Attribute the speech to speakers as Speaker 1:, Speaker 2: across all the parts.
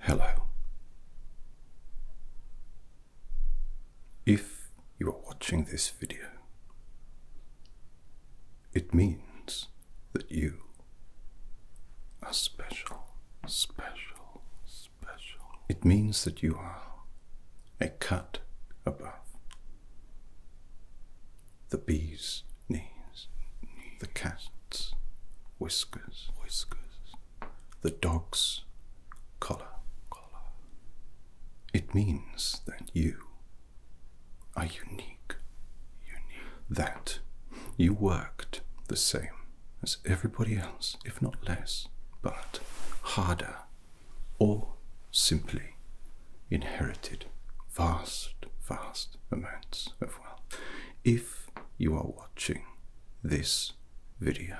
Speaker 1: Hello. If you are watching this video, it means that you are special, special, special. It means that you are a cut above the bee's knees, the cat's whiskers, whiskers, the dog's collar. collar. It means that you are unique. that you worked the same as everybody else, if not less, but harder or simply inherited vast, vast amounts of wealth. If you are watching this video,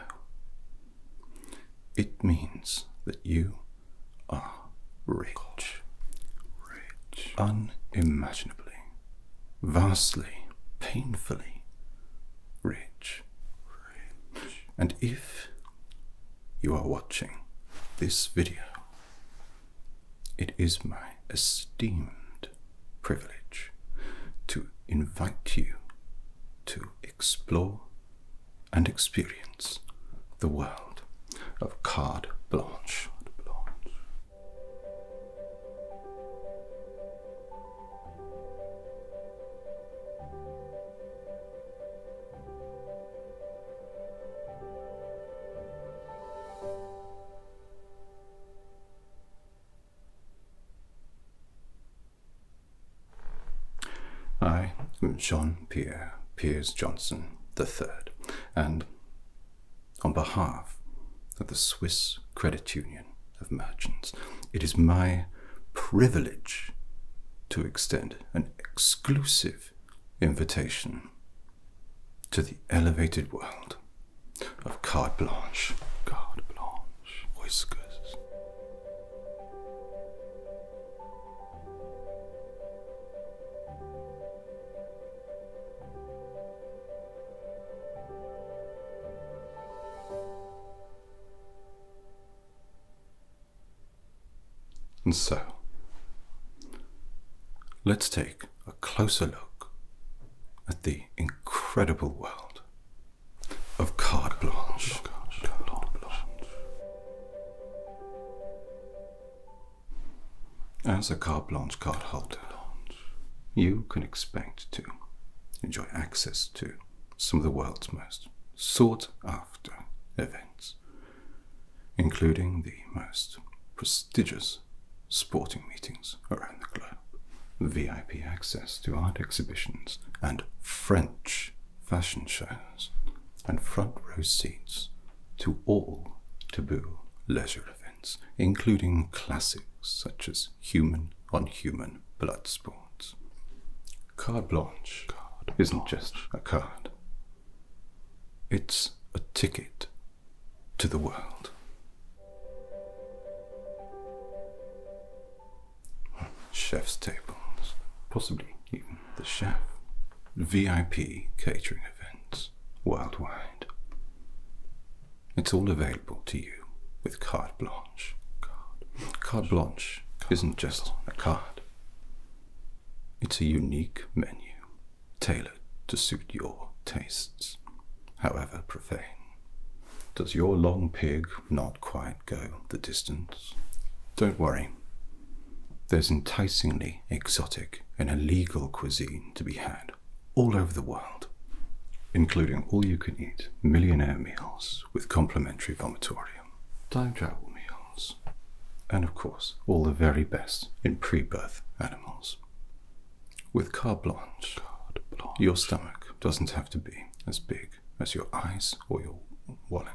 Speaker 1: it means that you are rich, rich, unimaginably vastly, painfully rich. rich. And if you are watching this video, it is my esteemed privilege to invite you to explore and experience the world of card blanche. I, am John Pierre Piers Johnson the Third, and on behalf of the Swiss Credit Union of Merchants. It is my privilege to extend an exclusive invitation to the elevated world of carte blanche, whiskers. And so, let's take a closer look at the incredible world of carte blanche. As a carte blanche card holder, you can expect to enjoy access to some of the world's most sought after events, including the most prestigious sporting meetings around the globe, VIP access to art exhibitions and French fashion shows, and front row seats to all taboo leisure events, including classics such as human on human blood sports. Carte blanche isn't just a card, it's a ticket to the world. Chef's tables, possibly even the chef, VIP catering events worldwide. It's all available to you with carte blanche. Carte, blanche isn't just a card, it's a unique menu tailored to suit your tastes, however profane. Does your long pig not quite go the distance? Don't worry, there's enticingly exotic, and illegal cuisine to be had all over the world, including all you can eat millionaire meals with complimentary vomitorium, time travel meals, and of course, all the very best in pre birth animals. With carte blanche, carte blanche, your stomach doesn't have to be as big as your eyes or your wallet.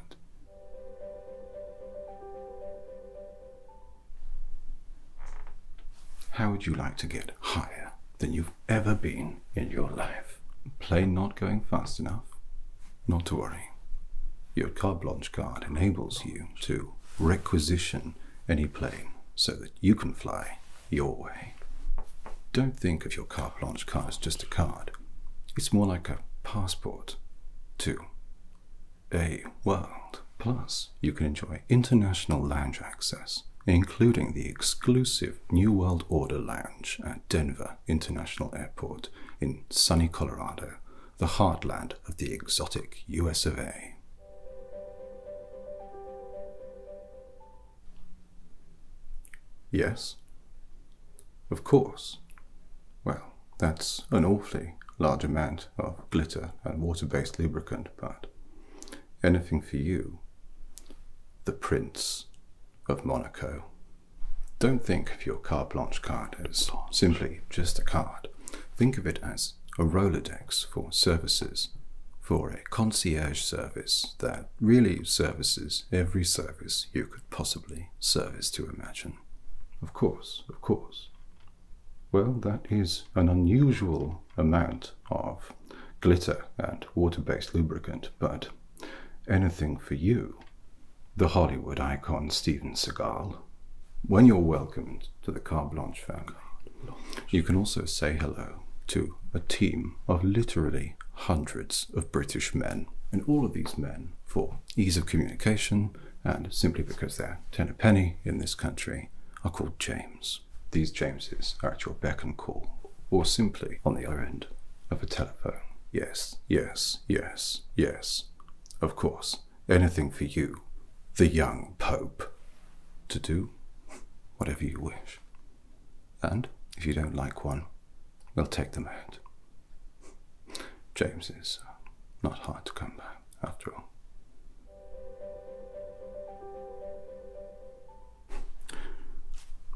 Speaker 1: How would you like to get higher than you've ever been in your life? Plane not going fast enough? Not to worry. Your car launch card enables you to requisition any plane so that you can fly your way. Don't think of your carte launch card as just a card. It's more like a passport too a world. Plus, you can enjoy international lounge access, including the exclusive New World Order Lounge at Denver International Airport in sunny Colorado, the heartland of the exotic US of A. Yes? Of course. Well, that's an awfully large amount of glitter and water-based lubricant, but anything for you. The Prince of Monaco. Don't think of your carte blanche card as simply just a card. Think of it as a Rolodex for services, for a concierge service that really services every service you could possibly service to imagine. Of course, of course. Well, that is an unusual amount of glitter and water based lubricant, but anything for you, the Hollywood icon Steven Seagal. When you're welcomed to the Car Blanche family, you can also say hello to a team of literally hundreds of British men. And all of these men, for ease of communication, and simply because they're ten a penny in this country, are called James. These Jameses are at your beck and call, or simply on the other end of a telephone. Yes, yes, yes, yes. Of course, anything for you, the young Pope, to do whatever you wish. And if you don't like one, we'll take them out. James is uh, not hard to come by, after all.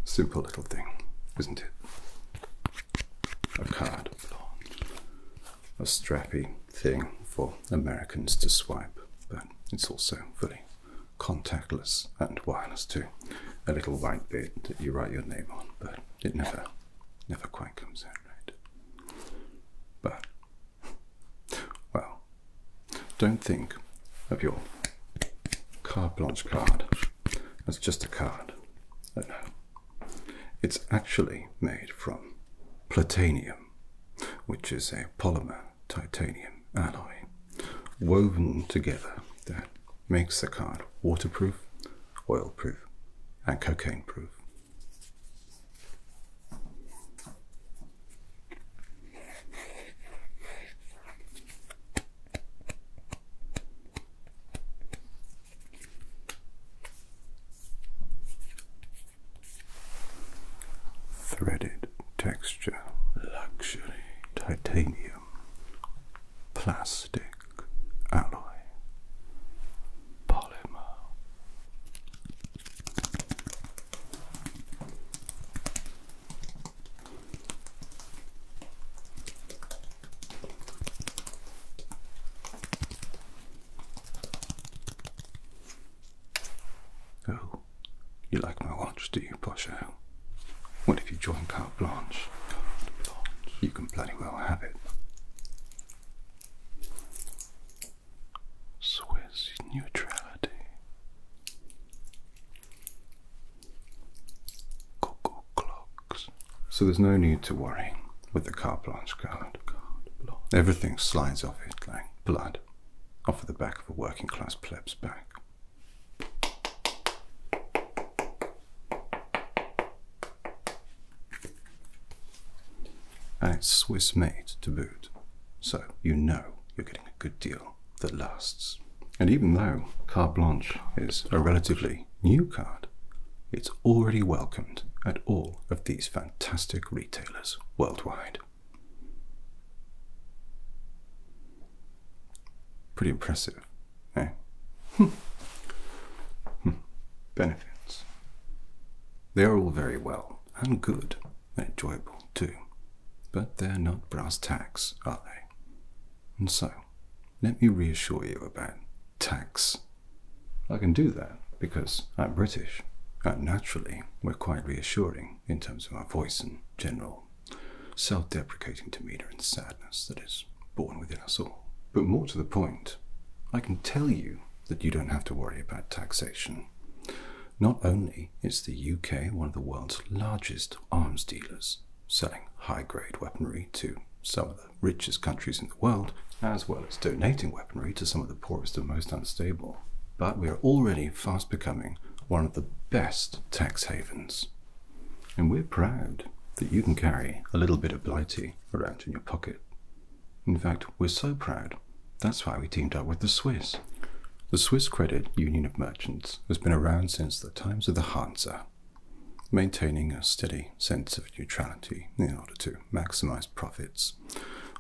Speaker 1: Simple little thing, isn't it? A card a strappy thing for Americans to swipe, but it's also fully contactless and wireless too. A little white bit that you write your name on, but it never never quite comes out right. But, well, don't think of your carte blanche card as just a card. no. It's actually made from platinum, which is a polymer titanium alloy woven together that makes the card waterproof, oil-proof, and cocaine-proof. Threaded texture, luxury, titanium, plastic alloy polymer. Oh, you like my watch, do you, Posha? What if you join carte blanche? You can bloody well have it. Swiss neutrality. Cuckoo clocks. So there's no need to worry with the carte blanche card. Everything slides off it like blood off the back of a working class pleb's back. And it's Swiss made to boot, so you know you're getting a good deal that lasts. And even though Carte Blanche is a relatively new card, it's already welcomed at all of these fantastic retailers worldwide. Pretty impressive, eh? Hmm. Benefits. They are all very well and good and enjoyable too, but they're not brass tacks, are they? And so, let me reassure you about tax. I can do that because I'm British, and naturally we're quite reassuring in terms of our voice and general self deprecating demeanour and sadness that is born within us all. But more to the point, I can tell you that you don't have to worry about taxation. Not only is the UK one of the world's largest arms dealers, selling high grade weaponry to some of the richest countries in the world, as well as donating weaponry to some of the poorest and most unstable, but we are already fast becoming one of the best tax havens. And we're proud that you can carry a little bit of Blighty around in your pocket. In fact, we're so proud, that's why we teamed up with the Swiss. The Swiss Credit Union of Merchants has been around since the times of the Hansa, maintaining a steady sense of neutrality in order to maximize profits,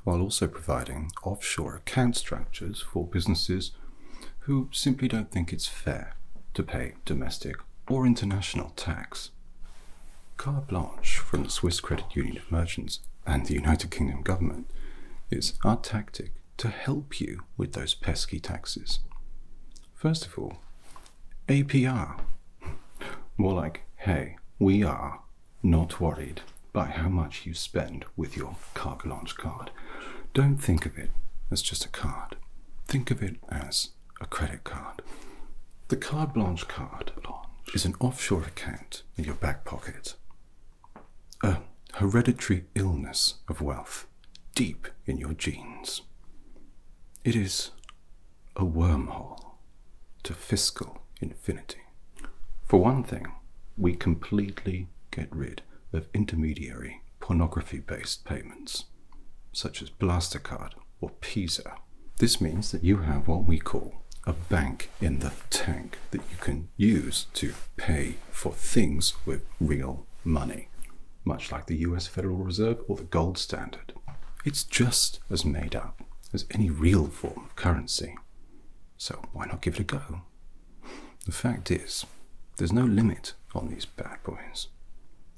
Speaker 1: while also providing offshore account structures for businesses who simply don't think it's fair to pay domestic or international tax. Carte blanche from the Swiss Credit Union of Merchants and the United Kingdom government is our tactic to help you with those pesky taxes. First of all, APR. More like, hey, we are not worried by how much you spend with your carte blanche card. Don't think of it as just a card. Think of it as a credit card. The carte blanche card is an offshore account in your back pocket. A hereditary illness of wealth deep in your genes. It is a wormhole to fiscal infinity. For one thing, we completely get rid of intermediary pornography based payments, such as Blastercard or Pisa. This means that you have what we call a bank in the tank that you can use to pay for things with real money, much like the US Federal Reserve or the gold standard. It's just as made up as any real form of currency. So why not give it a go? The fact is, there's no limit on these bad boys.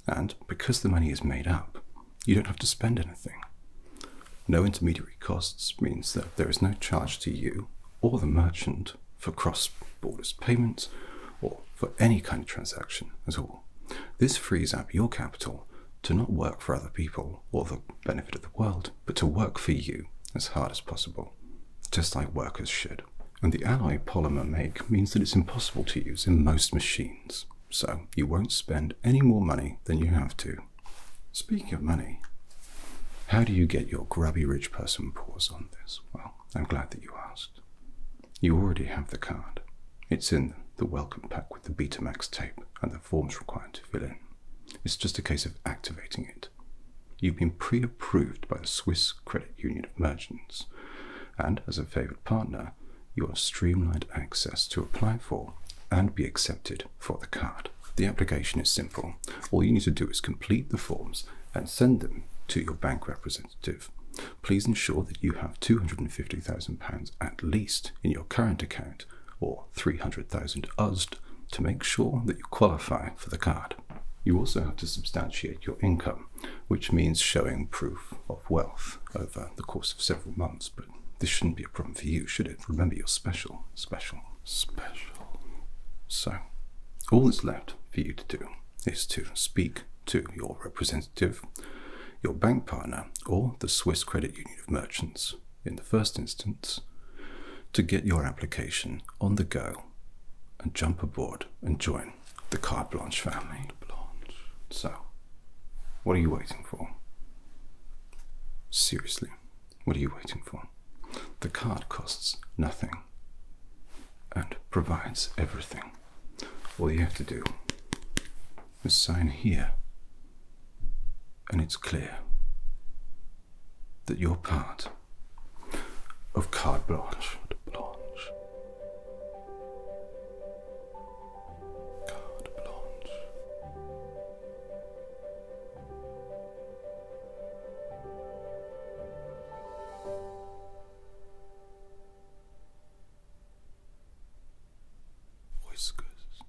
Speaker 1: And because the money is made up, you don't have to spend anything. No intermediary costs means that there is no charge to you or the merchant for cross border payments or for any kind of transaction at all. This frees up your capital to not work for other people or the benefit of the world, but to work for you as hard as possible, just like workers should. And the alloy polymer make means that it's impossible to use in most machines, so you won't spend any more money than you have to. Speaking of money, how do you get your grubby rich person paws on this? Well, I'm glad that you asked. You already have the card. It's in the welcome pack with the Betamax tape and the forms required to fill in. It's just a case of activating it. You've been pre approved by the Swiss Credit Union of Merchants, and as a favoured partner, you have streamlined access to apply for and be accepted for the card. The application is simple. All you need to do is complete the forms and send them to your bank representative. Please ensure that you have £250,000 at least in your current account or 300,000 USD to make sure that you qualify for the card. You also have to substantiate your income, which means showing proof of wealth over the course of several months, but this shouldn't be a problem for you, should it? Remember, you're special, special, special. So, all that's left for you to do is to speak to your representative, your bank partner, or the Swiss Credit Union of Merchants in the first instance, to get your application on the go and jump aboard and join the Carte Blanche family. Blanche. So, what are you waiting for? Seriously, what are you waiting for? The card costs nothing and provides everything. All you have to do is sign here and it's clear that you're part of carte blanche. blanche. Whiskers.